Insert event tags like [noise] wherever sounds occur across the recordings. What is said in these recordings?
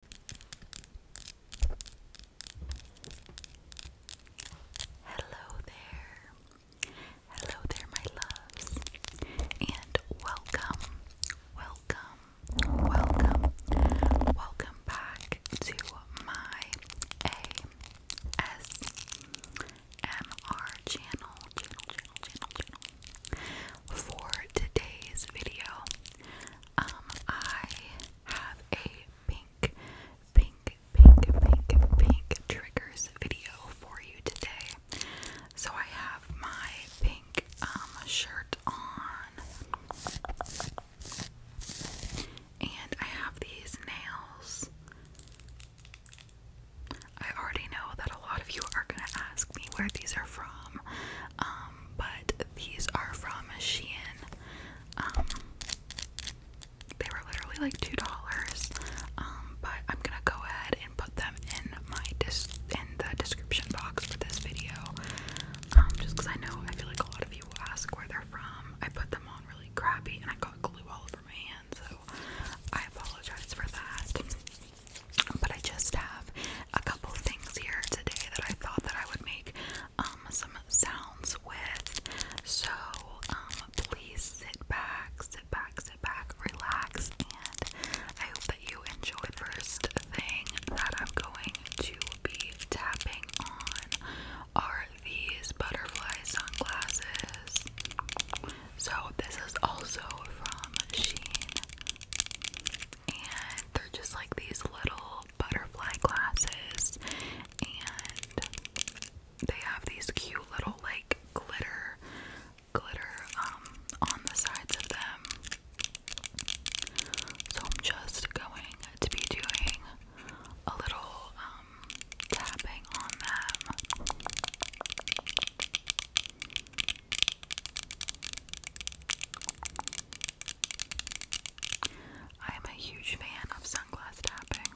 Hello there. Hello there, my loves. And welcome, welcome, welcome, welcome back to my ASMR channel, channel, channel, channel, channel. For today's video, um, I have a pink, pink, pink, pink, pink triggers video for you today. So I have my pink um shirt on. And I have these nails. I already know that a lot of you are gonna ask me where these are from, um, but these are from Shein. Um, they were literally like two dollars. Um, but I'm gonna go ahead and put them in my dis in the description box for this video. Um, just because I know I feel like a lot of you will ask where they're from. I put them on really crappy, and I got glue all over my hands, so I apologize for that. But I just have a couple things here today that I thought that I would make um, some sounds with. So um, please sit back, sit back, sit back, relax, and I hope that you enjoy. The first thing that I'm going to be tapping on are these butterfly sunglasses. So this is also from Sheen and they're just like these little butterfly glasses and they have these cute little like glitter glitter um on the sides of them so I'm just going to be doing a little um, tapping on them I am a huge fan of sunglass tapping.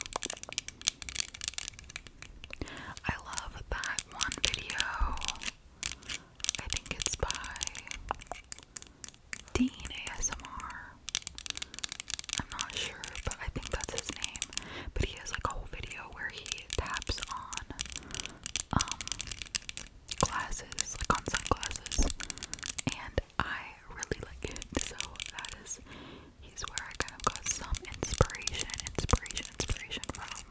I love that one video. I think it's by Dean ASMR. I'm not sure, but I think that's his name. But he has like a whole video where he taps on um, glasses, like on sunglasses, and I really like it. So that is, he's where I kind of got some inspiration, inspiration, inspiration from.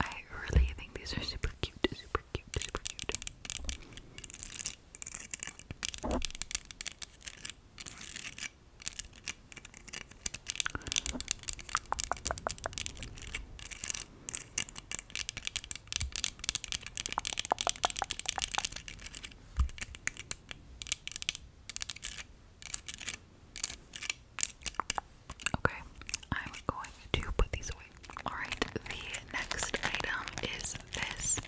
I really think these are super cute, super cute, super cute. Okay, I'm going to put these away. Alright, the next item is this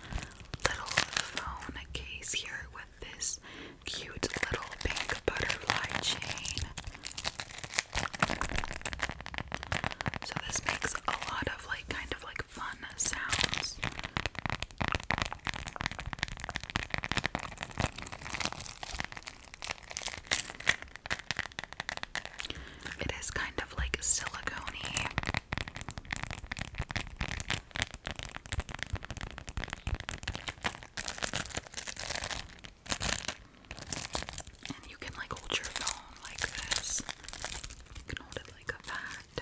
little phone case here with this cute little pink butterfly chain. So this makes a lot of like kind of like fun sounds. It is kind of like silicone and you can like hold your phone like this. You can hold it like a fact.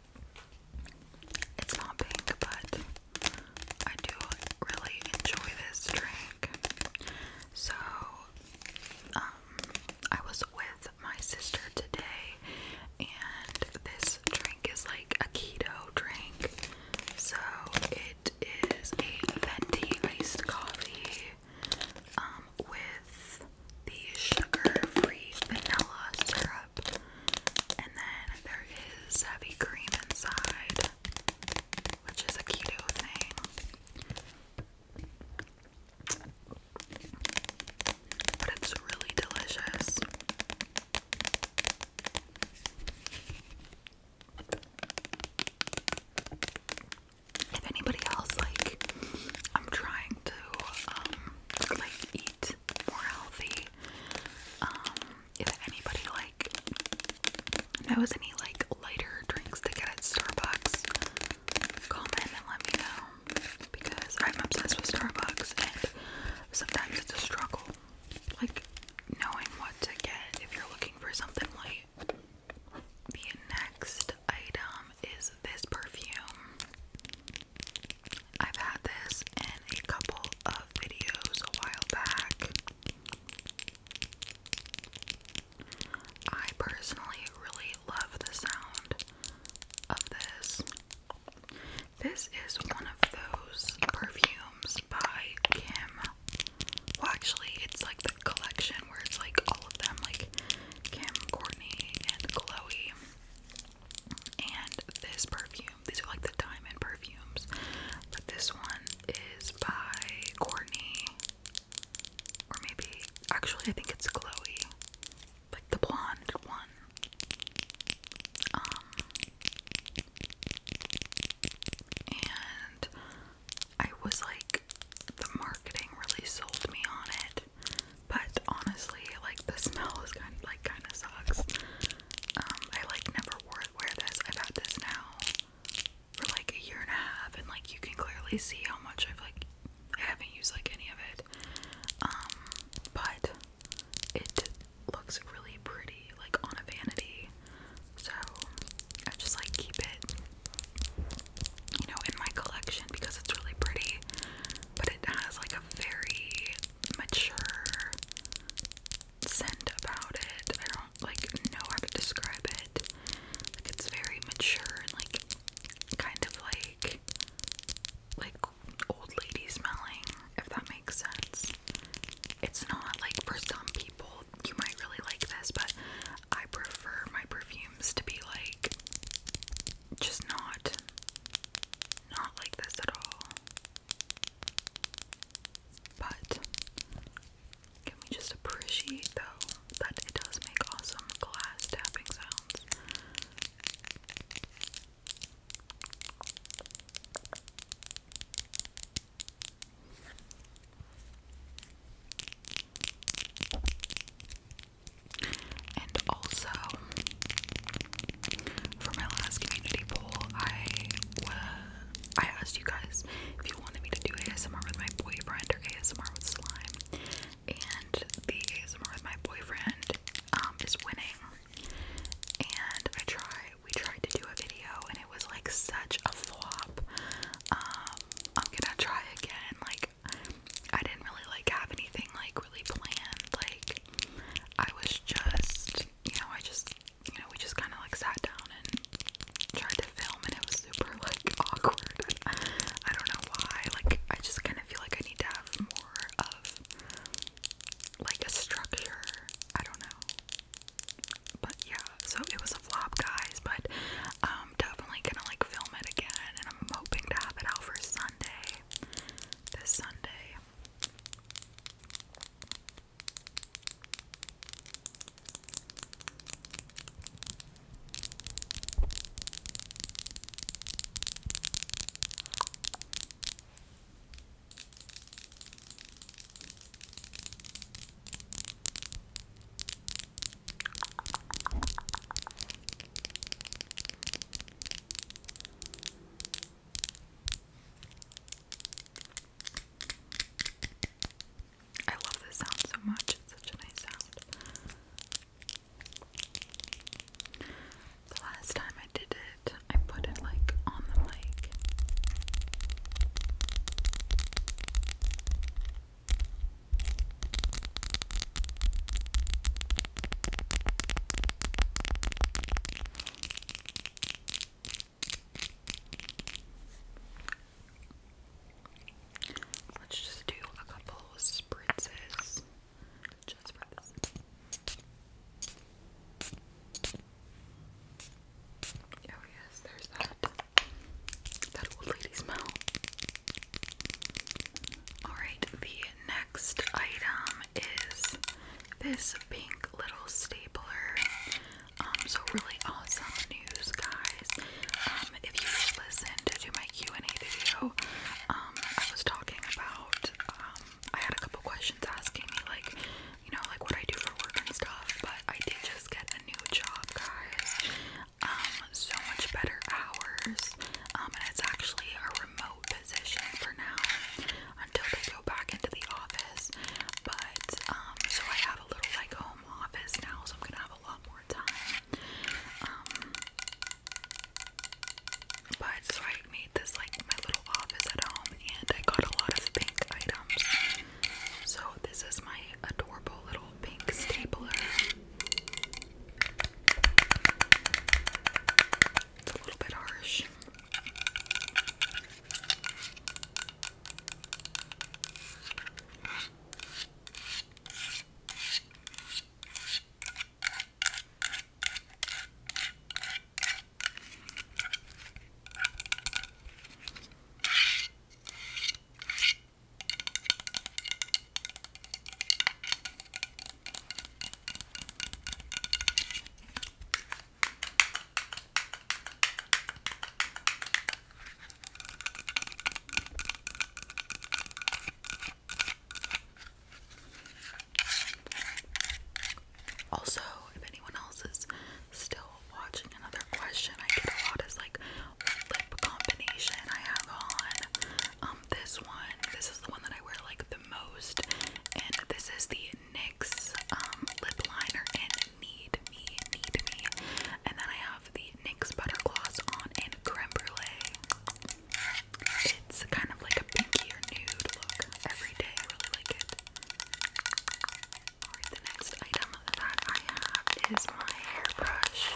It's not pink, but I do really enjoy this drink. So, um, I was with my sister today, and this drink is like a keto drink. So, it is a venti iced coffee um, with the sugar free vanilla syrup. And then there is heavy cream inside, which is a cute thing. But it's really delicious. If anybody else like I'm trying to um, like eat it's more healthy. Um, if anybody like knows any like lighter drinks to get at Starbucks, comment and let me know because I'm obsessed with Starbucks and sometimes it's a struggle like knowing what to get if you're looking for something light. The next item is this perfume. I've had this in a couple of videos a while back. I personally really love the sound of this. This is one of those perfumes by Kim. Well, actually, it's like the collection where it's like all of them, like Kim, Courtney, and Chloe. And this perfume, these are like the diamond perfumes, but this one is by Courtney, or maybe actually, I think it's Chloe, like the blonde one. Um, and I was like, the marketing really sold me on it, but honestly, like the smell is kind of like kind of sucks. Um, I like never wore wear this. I've had this now for like a year and a half, and like you can clearly see how much I've like I haven't used like any of it. Um, but it looks really pretty, like on a vanity. So I just like keep it, you know, in my collection because it's really pretty but it has like a very mature scent about it. I don't like know how to describe it. Like it's very mature and like kind of like like old lady smelling, if that makes sense. It's not like for some people you might really like this, but I prefer my perfumes to be like just not not like this at all. But can we just appreciate though that it does make awesome glass tapping sounds? And also, for my last community poll, I I asked you guys if you wanted me to do ASMR with my boyfriend or ASMR with slime, and the ASMR with my boyfriend um, is winning. And I try, we tried to do a video, and it was like such a flop. Um, I'm gonna try again. Like I didn't really like have anything like really planned. Like I was just, you know, I just, you know, we just kind of like sat down and tried to film, and it was super like [laughs] awkward. I don't know why. Like I just kind of feel like I need to have more of like a structure. I don't know. But yeah, so it was a flop, guys. But um, I'm definitely gonna like film it again, and I'm hoping to have it out for Sunday. This Sunday. I love this sound so much, it's such a nice sound. The last time I did it, I put it like on the mic. Let's just do a couple spritzes just for Oh yes, there's that that old lady smell. Alright, the next item is this pink little stapler. Um, so really awesome news, guys. Um, if you listened to my Q&A video, um, I was talking about, I had a couple questions asking me, like, you know, like what I do for work and stuff, but I did just get a new job, guys um, so much better hours. Um, and it's actually a remote position for now until they go back into the office. But um, so I have a little like home office now, so I'm gonna have a lot more time. Um, but so I made this like my little office at home, and I got a lot of pink items. So this is my adorable little pink stapler. It's a little bit harsh. Also, if anyone else is still watching, another question I get a lot is like, lip combination I have on. Um, this one, this is the one that I wear like the most, and this is the NYX um, lip liner in Need Me, Need Me. And then I have the NYX butter gloss on in Creme Brulee. It's kind of like a pinky or nude look every day. I really like it. Alright, the next item of the bag I have is my hairbrush.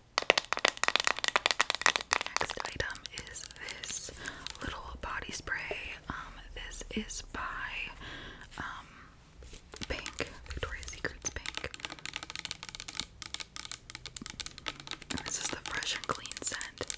next item is this little body spray. Um, this is by um Pink, Victoria's Secret's Pink. this is the fresh and clean scent.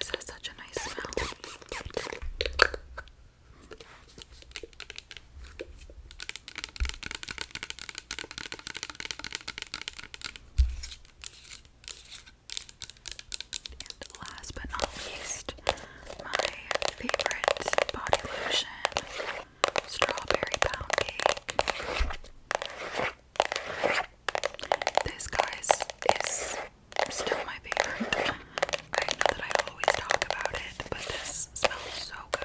This has such a nice smell. And last but not least, my favorite body lotion, strawberry pound cake. This guys is still my favorite. I know that I always talk about it, but this smells so good.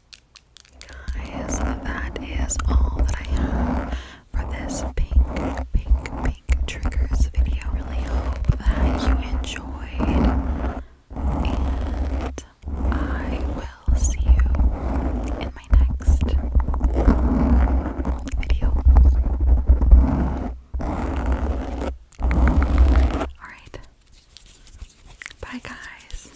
Guys, that is all that I have for this pink, pink, pink triggers video. Really hope that you enjoyed, and I will see you in my next video. Alright. Bye, guys.